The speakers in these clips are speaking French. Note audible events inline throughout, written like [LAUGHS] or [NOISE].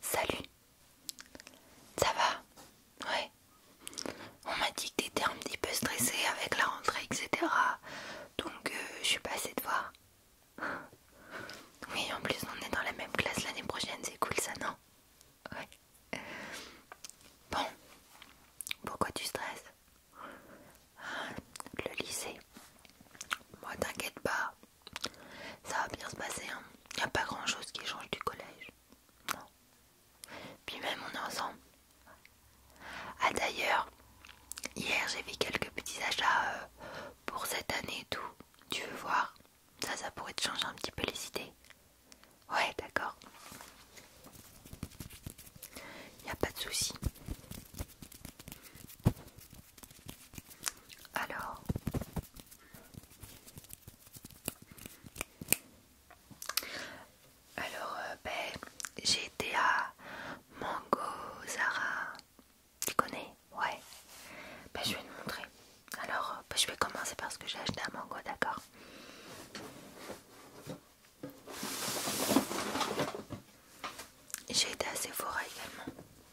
Salut, ça va Ouais. On m'a dit que t'étais un petit peu stressée avec la rentrée, etc. Donc euh, je suis passée de voir. Oui, en plus on est dans la même classe l'année prochaine, c'est cool ça, non Ouais. Bon, pourquoi tu stresses ah, Le lycée. Moi, t'inquiète pas, ça va bien se passer, il hein. n'y a pas grand chose qui change du collège. Non. Puis même on est ensemble. Ah d'ailleurs, hier j'ai fait quelques petits achats euh, pour cette année et tout. Tu veux voir Ça, ça pourrait te changer un petit peu les idées. Ouais, d'accord. n'y a pas de souci. Alors, alors euh, ben, j'ai été à Mango Zara. Tu connais Ouais. Ben, je vais te montrer. Alors, euh, ben, je vais commencer par ce que j'ai acheté à Mango, d'accord J'ai été à Sephora également.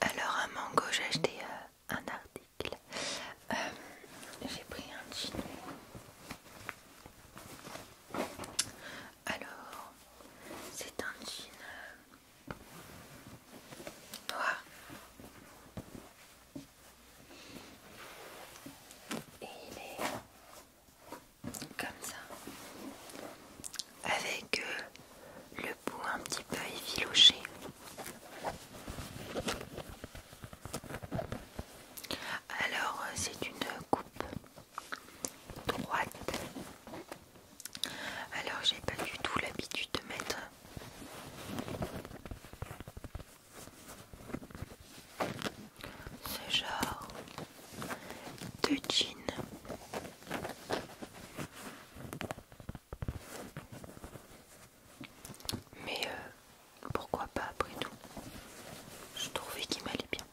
Alors un Mango j'ai acheté euh, un article. Euh, j'ai pris un jean, Alors c'est un jean noir et il est comme ça, avec euh, le bout un petit peu effiloché. Alors euh, c'est une coupe droite. Alors j'ai pas du tout l'habitude de mettre ce genre de jeans. Mais euh, pourquoi pas après tout Je trouvais qu'il m'allait bien.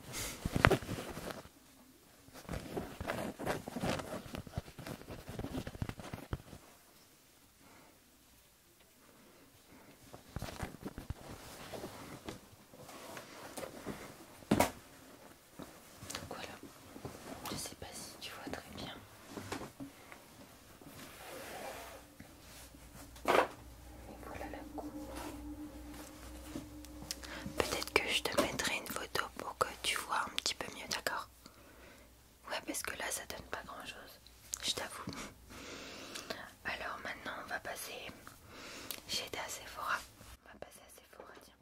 Donc voilà, je sais pas si tu vois très bien. voilà la coupe. Peut-être que je te mettrai une photo pour que tu vois un petit peu mieux, d'accord Ouais, parce que là ça donne pas grand chose, je t'avoue. Alors maintenant on va passer chez Da Sephora. On va passer à Sephora, tiens.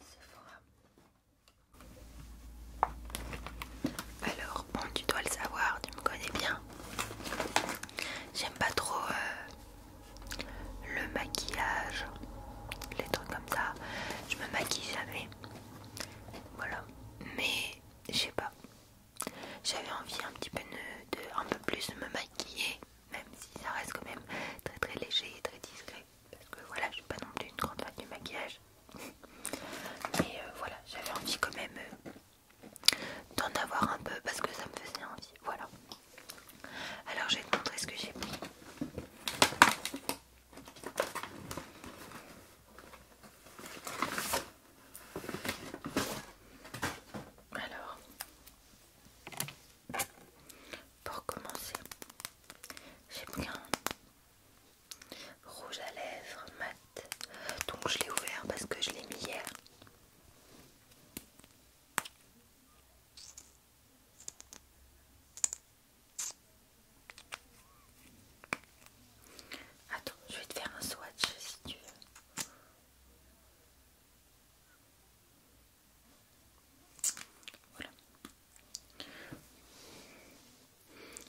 Sephora. Alors, bon, tu dois le savoir, tu me connais bien. J'aime pas trop euh, le maquillage, les trucs comme ça. Je me maquille jamais. Voilà. Mais je sais pas. J'avais envie un petit peu de, un peu plus de me maquiller, même si ça reste quand même très très léger et très discret, parce que voilà, je suis pas non plus une grande fan du maquillage. [LAUGHS] Mais euh, voilà, j'avais envie quand même euh, d'en avoir un peu parce que ça me faisait envie. Voilà. Alors je vais te montrer ce que j'ai pris. Alors, pour commencer, j'ai pris un rouge à lèvres mat. Donc je l'ai ouvert parce que je l'ai mis hier. Attends, je vais te faire un swatch si tu veux. Voilà.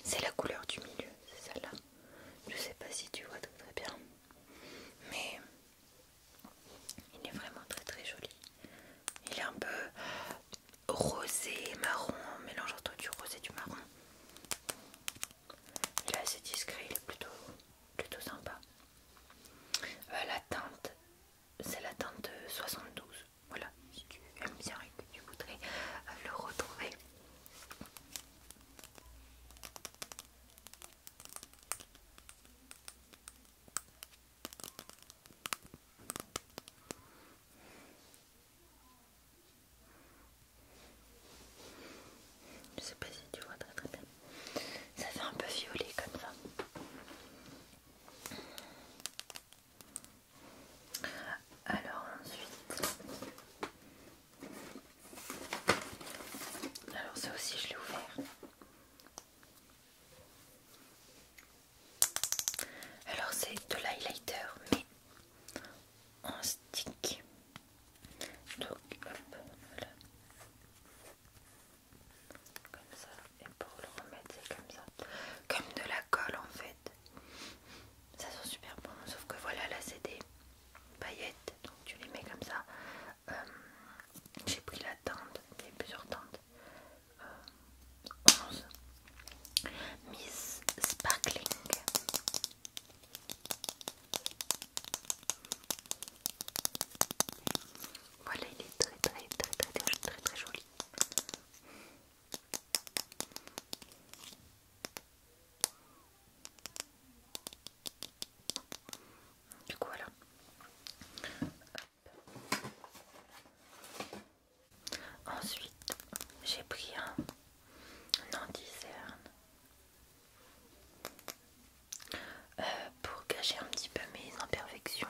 C'est la couleur du milieu, c'est celle-là. Je sais pas si tu vois très bien, mais il est vraiment très très joli. Il est un peu rosé marron, mélange entre du rose et du marron. Il est assez discret, il est plutôt plutôt sympa. Euh, la teinte, c'est la teinte 72. Voilà, si tu aimes bien et que tu voudrais euh, le retrouver. Je sais pas si tu vois très très bien. Ça fait un peu violet comme ça. Alors ensuite... Alors ça aussi je l'ai ouvert. Alors c'est de l'highlighter mais en stick. Donc, Comme ça. Et pour le remettre, c'est comme ça. Comme de la colle en fait. Ça sent super bon. Sauf que voilà, là c'est des paillettes. Donc tu les mets comme ça. Euh, j'ai pris la tente, Il y a plusieurs tentes, 11. Euh, Miss Sparkling. Voilà, il est très très très très très très, joli. Du coup voilà. Ensuite, j'ai pris un anti discerne euh, pour cacher un petit peu mes imperfections,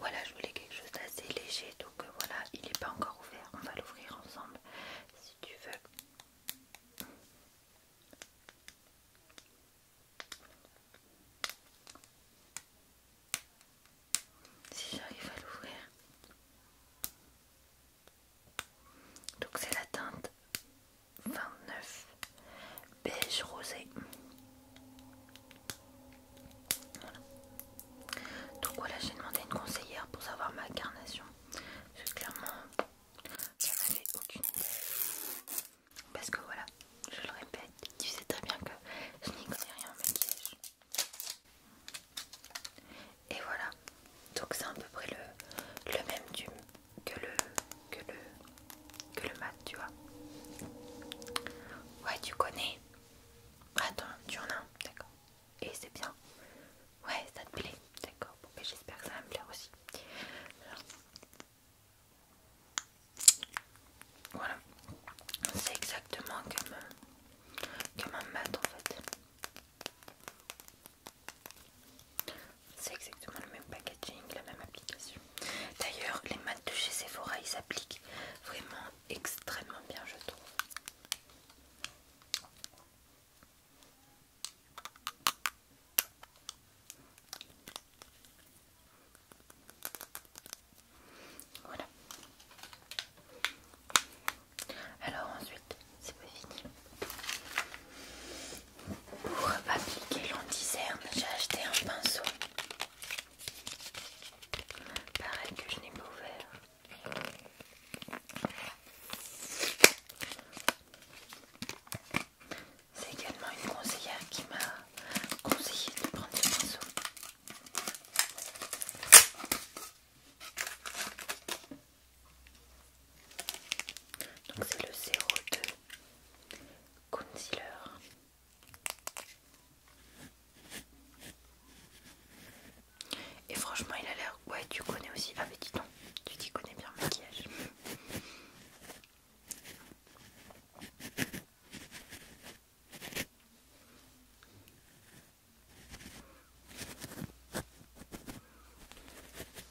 voilà, je voulais quelque chose d'assez léger, donc euh, voilà, il n'est pas encore ouvert, on va l'ouvrir ensemble si tu veux. Si j'arrive à l'ouvrir. Donc c'est la teinte 29 beige rosé. Voilà. Donc voilà, j'ai demandé une conseillère pour savoir ma carnation. Parce que clairement, j'en avais aucune idée. Parce que voilà, je le répète, tu sais très bien que je n'y connais rien en maquillage. Et voilà, donc c'est à peu près le, même tube que le que le que le mat tu vois ouais tu connais attends tu en as d'accord et c'est bien ouais ça te plaît d'accord bon, ben, j'espère que ça va me plaire aussi voilà voilà c'est exactement comme euh, comme un mat en fait c'est exactement le même packaging, la même application. D'ailleurs, les mats de chez Sephora, ils s'appliquent vraiment extrêmement bien, je trouve. Voilà. Alors ensuite, c'est pas fini. Pour appliquer diserne, j'ai acheté un pinceau. Pareil que je n'ai pas ouvert. C'est également une conseillère qui m'a conseillé de prendre ce pinceau. Donc c'est le 02 concealer. Et franchement il a l'air... Ouais tu connais aussi... Ah mais dis donc, tu t'y connais bien maquillage.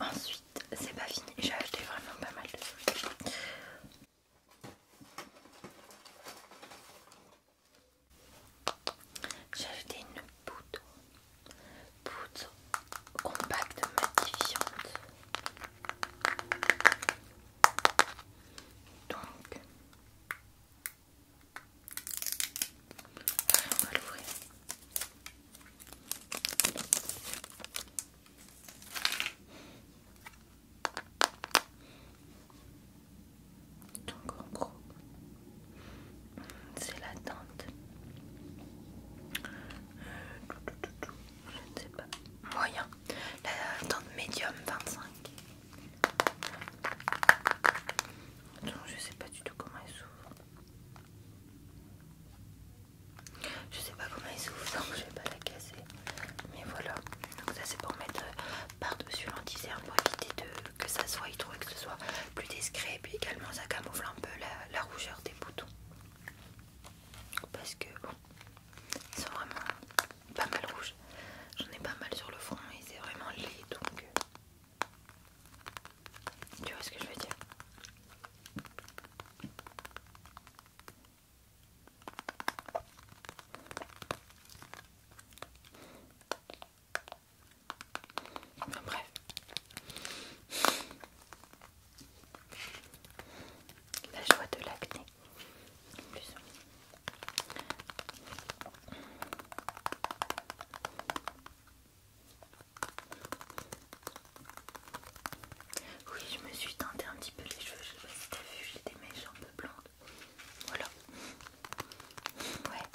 Ensuite, c'est pas fini, j'ai acheté vraiment pas mal de trucs. J'ai acheté une poudre, poudre compacte matifiante. Donc, on va l'ouvrir. Donc en gros, c'est la tente. Euh, Je ne sais pas. Moyen la tente médium 25. Donc je sais pas du tout comment elle s'ouvre. Je sais pas comment elle s'ouvre, donc je vais pas la casser. Mais voilà. Donc ça c'est pour mettre euh, par-dessus l'antiserne pour éviter de, que ça soit il que ce soit plus discret. Et puis également ça camoufle un peu la, la rougeur des boutons. Parce que bon, ils sont vraiment pas mal rouges. J'en ai pas mal sur le front et c'est vraiment laid donc. Euh, tu vois ce que je veux dire Enfin, bref. La joie de l'acné. Oui, je me suis tenté un petit peu les cheveux. Je sais pas si t'as vu, j'ai des mèches un peu blondes. Voilà. Ouais.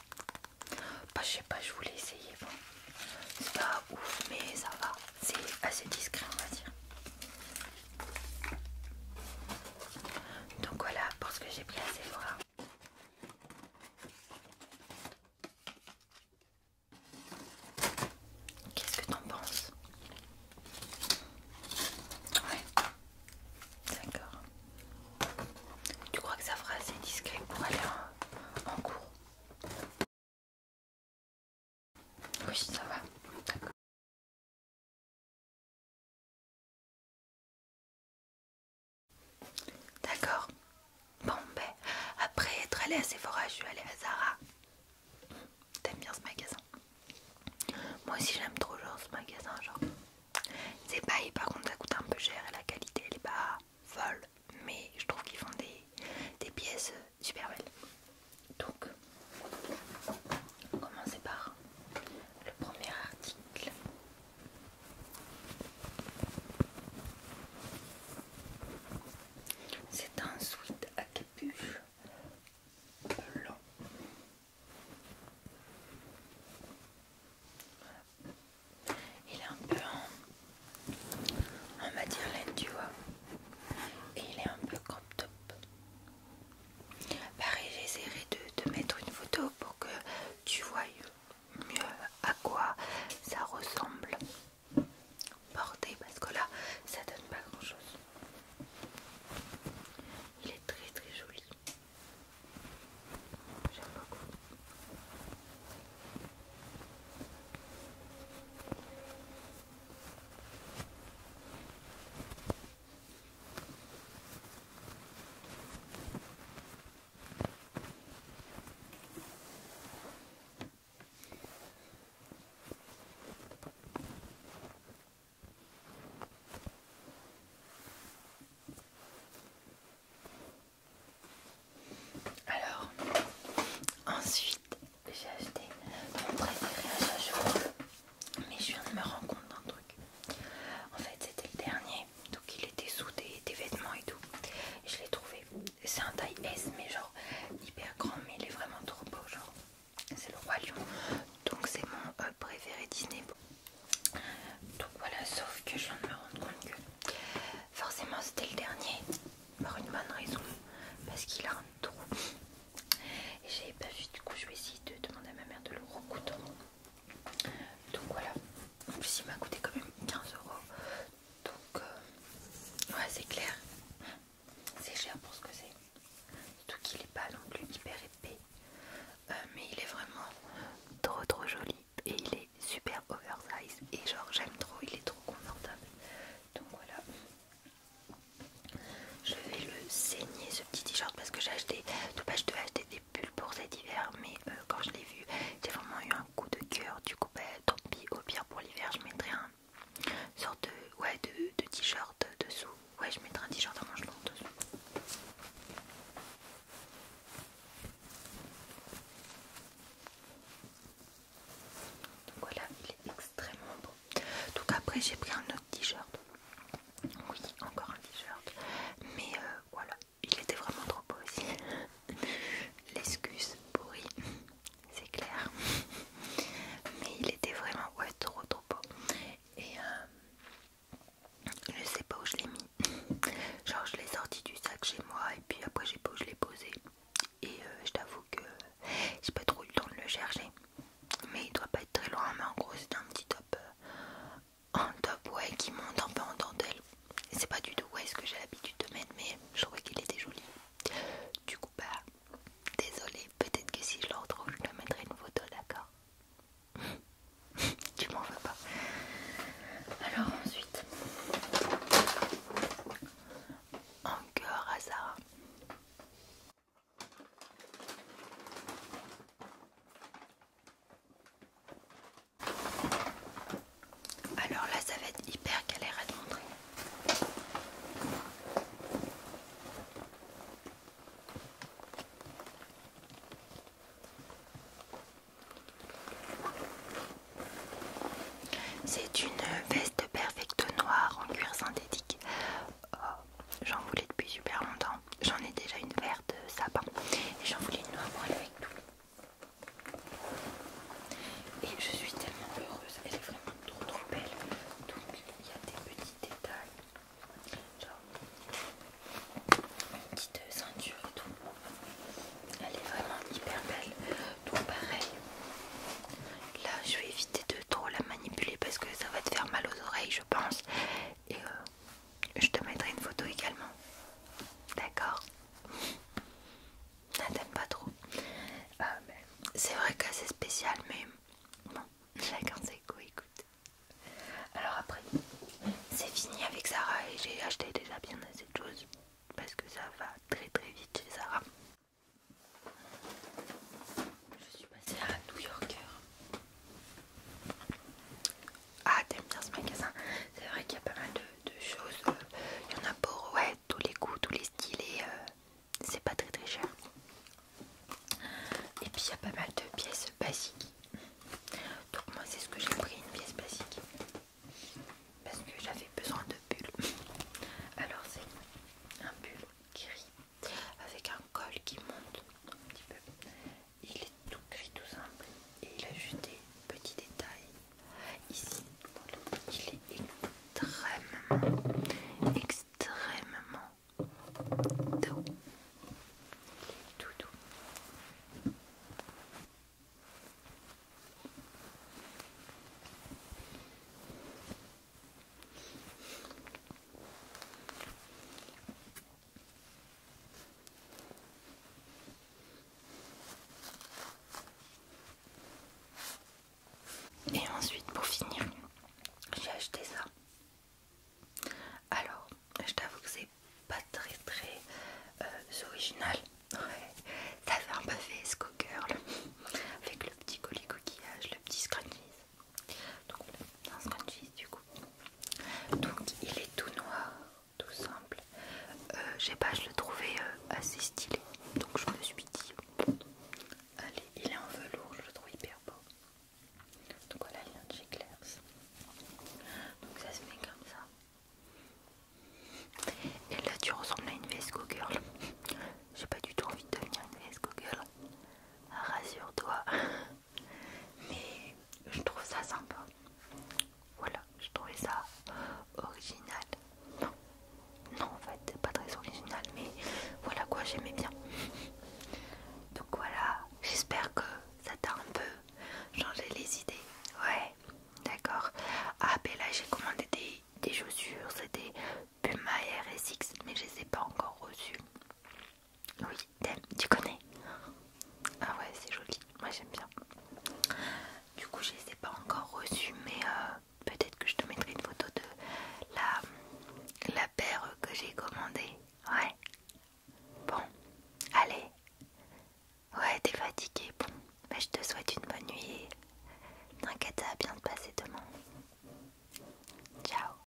Bah, je sais pas, je voulais essayer. Bon, c'est pas ouf, mais ça va. C'est assez discret, on va dire. Donc voilà pour ce que j'ai pris assez voir. Qu'est-ce que t'en penses Ouais. D'accord. Tu crois que ça fera assez discret pour aller en cours oui, ça va. D'accord. Bon, ben, après être allée à Sephora, je vais aller à Zara. T'aimes bien ce magasin Moi aussi, j'aime trop genre ce magasin. Genre, c'est pas, par contre, ça coûte un peu cher et la qualité elle est pas folle. Mais je trouve qu'ils font des, des pièces euh, super belles. Donc, on commence par le premier article. C'est un sweat à capuche blanc. Il est un peu en, On matière laine, tu vois, et il est un peu crop top. Pareil, bah, j'essaierai de mettre une photo pour que tu vois mieux à quoi ça ressemble porté parce que là ça donne pas grand chose. Il est très très joli. J'aime beaucoup. Alors, ensuite j'ai acheté mon préféré à chaque jour mais je viens de me rendre compte d'un truc. En fait, c'était le dernier, donc il était sous des, vêtements et tout. je l'ai trouvé. C'est un taille S, mais genre hyper grand, mais il est vraiment trop beau. Genre, c'est le roi lion, donc c'est mon euh, préféré Disney. Donc voilà, sauf que je viens de me rendre compte que forcément c'était le dernier, pour une bonne raison, parce qu'il a un trou. Et j'avais pas vu, du coup je vais essayer de demander à ma mère de le recoudre. Donc voilà, en plus il m'a coûté quand même 15 euros. Donc euh, ouais c'est clair, c'est cher pour ce que c'est. Surtout qu'il est pas non plus hyper épais. Euh, mais il est vraiment trop trop joli et il est super oversize et genre j'aime trop, il est trop confortable. Donc voilà, je vais le saigner ce petit t-shirt parce que j'ai acheté, je devais acheter des pulls pour cet hiver mais euh, quand je l'ai vu j'ai vraiment eu un coup de cœur du coup ben, tant pis au pire pour l'hiver je mettrai un sorte de, ouais, de, t-shirt dessous. Ouais je mettrai un t-shirt à dessous. Donc voilà il est extrêmement beau. Donc après j'ai pris un autre t-shirt. Oui, encore un t-shirt. Mais euh, voilà, il était vraiment trop beau aussi. [LAUGHS] L'excuse pourri, c'est clair. Mais il était vraiment ouais, trop trop beau. Et euh, je ne sais pas où je l'ai mis. Genre je l'ai sorti du sac chez moi et puis après j'ai pas où je l'ai posé. Et euh, je t'avoue que j'ai pas trop eu le temps de le chercher. Mais il doit pas très loin mais en gros c'est un petit top euh, un top ouais qui monte un peu en dentelle c'est pas du tout ouais ce que j'ai l'habitude de mettre mais je trouvais qu'il était joli du coup bah désolé peut-être que si je le retrouve je le mettrai une photo d'accord [LAUGHS] tu m'en veux pas alors ensuite Encore à Sarah alors là, ça va être hyper galère à te montrer. C'est une veste perfecte noire en cuir synthétique oh, j'en voulais depuis super longtemps. J'en ai déjà une verte sapin et j'en voulais une noire aller avec tout. Et je suis tellement heureuse, elle est vraiment trop trop belle. Donc il y a des petits détails, genre une petite ceinture et tout. Elle est vraiment hyper belle. Tout pareil, là je vais éviter de trop la manipuler parce que ça va te faire mal aux oreilles pense. Et euh, je te mettrai une photo également. D'accord t'aime pas trop. Euh, c'est vrai que c'est spécial, mais bon, chacun ses goûts, écoute. Alors après, c'est fini avec Sarah et j'ai acheté déjà bien assez de choses parce que ça va très très vite chez Sarah. Je suis passée à New Yorker. Ah, t'aimes bien ce magasin? C'est vrai qu'il y a pas mal de, choses. Euh, il y en a pour ouais, tous les goûts, tous les styles et euh, c'est pas très très cher. Et puis il y a pas mal de pièces basiques. Donc, moi, c'est ce que j'ai pris une pièce basique parce que j'avais besoin de bulles. Alors, c'est un bulle gris avec un col qui monte un petit peu. Il est tout gris, tout simple, et il a juste des petits détails ici. Il est extrêmement, extrêmement doux. tout doux. Et ensuite, pour finir, j'ai acheté ça. Alors, je t'avoue que c'est pas très très euh, original. Ouais, ça fait un peu fait Sco Girl avec le petit colis coquillage, le petit scrunchies. Donc un du coup. Donc il est tout noir, tout simple. Euh, je sais pas, je le trouvais euh, assez stylé. Donc je me suis dit, allez, il est en velours, je le trouve hyper beau. Donc voilà, il vient de chez Donc ça se met comme ça. Et là tu ressembles à une Vesco Girl. [LAUGHS] J'ai pas du tout envie de devenir une Vesco Girl. Rassure-toi. [LAUGHS] mais je trouve ça sympa. Voilà, je trouvais ça original. Non, non en fait, pas très original, mais voilà quoi, j'aimais bien. Donc voilà, j'espère que ça t'a un peu changé les idées. Ouais, d'accord. Ah, ben là, j'ai commandé des, des chaussures, c'était Puma RSX, mais je les ai pas encore reçues. Oui, tu connais Ah ouais, c'est joli, moi j'aime bien. Du coup, je les ai pas encore reçus, mais euh, peut-être que je te mettrai une photo de la, la paire que j'ai commandée. Ouais. Bon, allez. Ouais, t'es fatiguée. Bon, bah, je te souhaite une bonne nuit. T'inquiète, à bien de passer demain. Ciao.